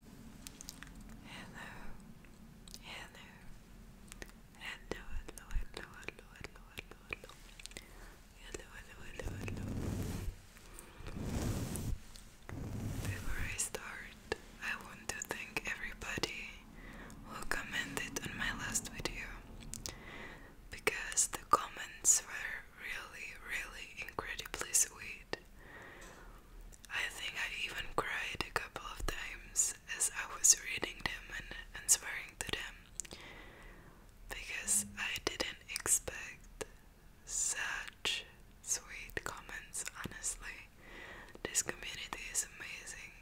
Hello, hello, hello, hello, hello, hello, hello, hello, hello, hello, hello, hello, hello. Before I start, I want to thank everybody who commented on my last video because the comments were really, really incredibly sweet. I think I even cried a couple of times as I was reading them and, and to them because I didn't expect such sweet comments, honestly. This community is amazing.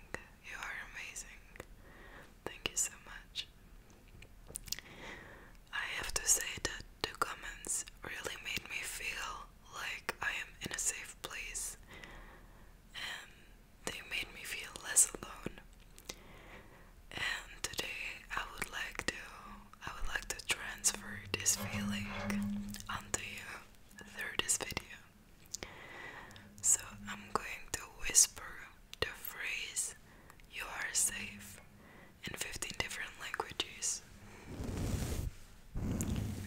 You are amazing. Thank you so much. I have to say that the comments really made me feel like I am in a safe place, and they made me feel less alone. And today I would like to I would like to transfer this feeling onto you through this video. So I'm going to whisper the phrase you are safe in 15 different languages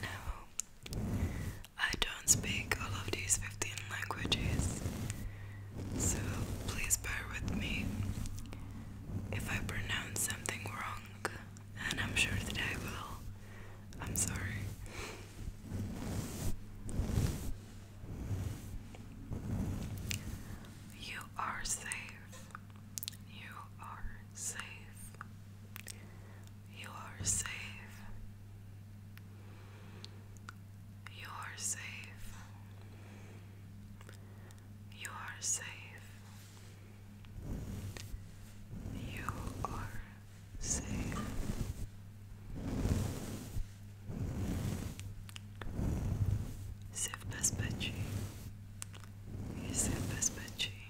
no, I don't speak all of these 15 languages, so please bear with me if I pronounce something wrong, and I'm sure that I will. I'm sorry. You are safe. You are safe. You are safe. You are safe. You are safe. You are safe. Safe bezpečí. Jsi v bezpečí.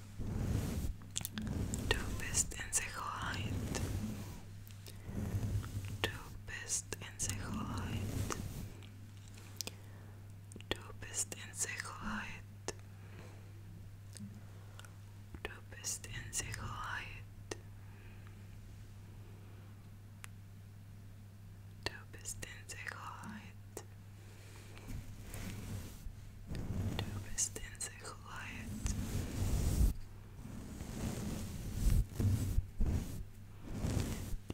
Du bist in Sicherheit. Du bist in Sicherheit. Du bist in Sicherheit. Du bist in Sicherheit. Du bist in Sicherheit. Du bist in Sicherheit quiet.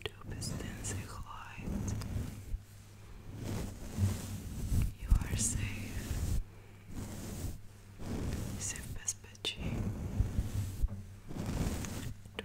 Du bist in Sicherheit. You are safe. Safe bezpečí. Du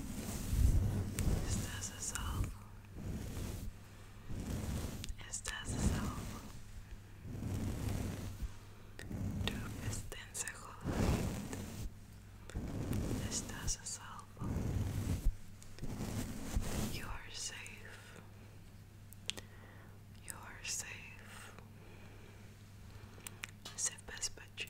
Estás a salvo. Estás a salvo. Tu pertences You are safe. You are safe. Safe as a pespacci.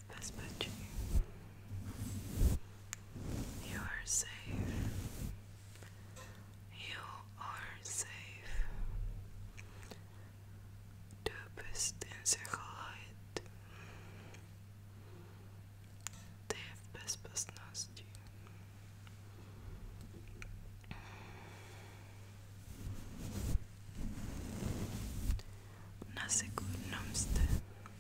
this much you are safe. You are safe. Du bist in Sicherheit. Ты в безопасности. На секундном стене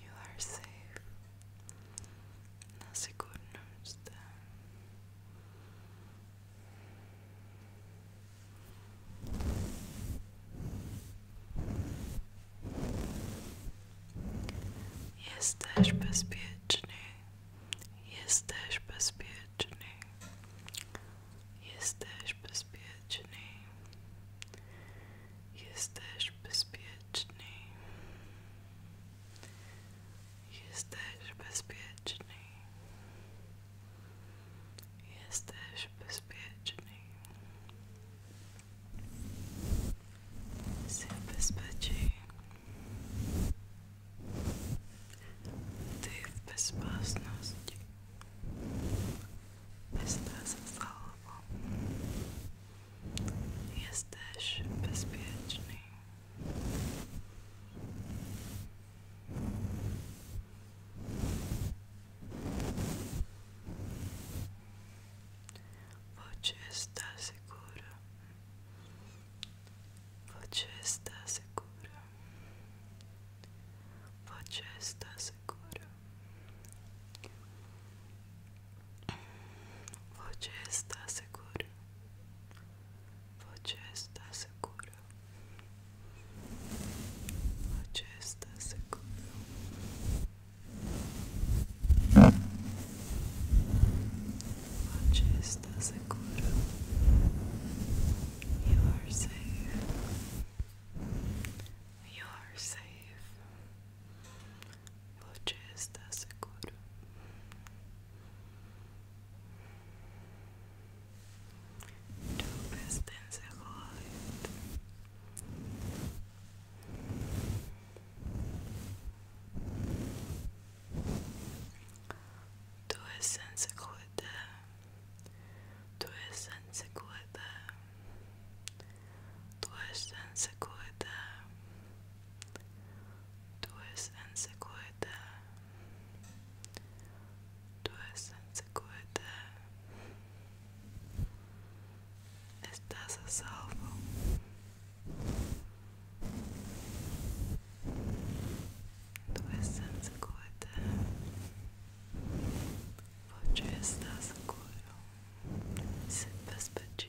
you are safe. That's a good news then. Jesteś bezpieczny. Jesteś bezpieczny. Jesteś bezpieczny. Jesteś bezpieczny. Jesteś bezpieczny. Jesteś bezpieczny. Jesteś bezpieczny. Ty w bezpieczności. Jesteś w Yes, bezpieczny. Você está segura. Você está segura. Você está Você está seguro. Você está seguro. Você está seguro. Você está seguro. You are safe. You are safe. Você está seguro. Du bist in Sicherheit. Du bist in Sicherheit. Du Durchsein se cuida, durchsein se cuida, durchsein se cuida. Estás a salvo. Durchsein se cuida, você está seguro. Se despede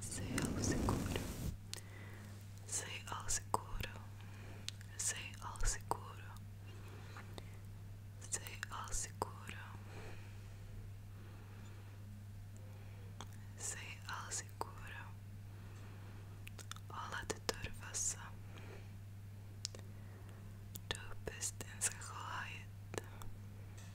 Sei ao seguro. Sei ao seguro. Sei ao seguro. Sei ao seguro. Sei ao seguro. Olá de turvação. Du bist in Sicherheit.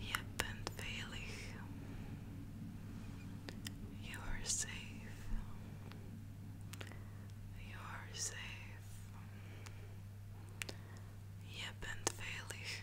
Je bent veilig. You are safe. You are safe. Je bent veilig.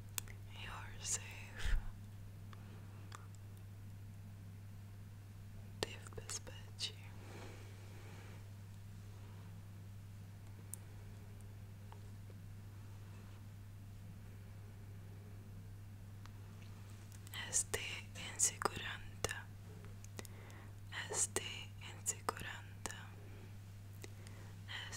You're safe. Dev bezpeçi. Esté en seguranta. Esté en seguranta.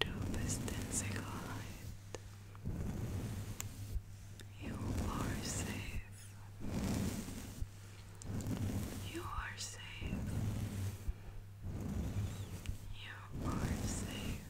Trösten sich halt. You are safe. You are safe. You are safe.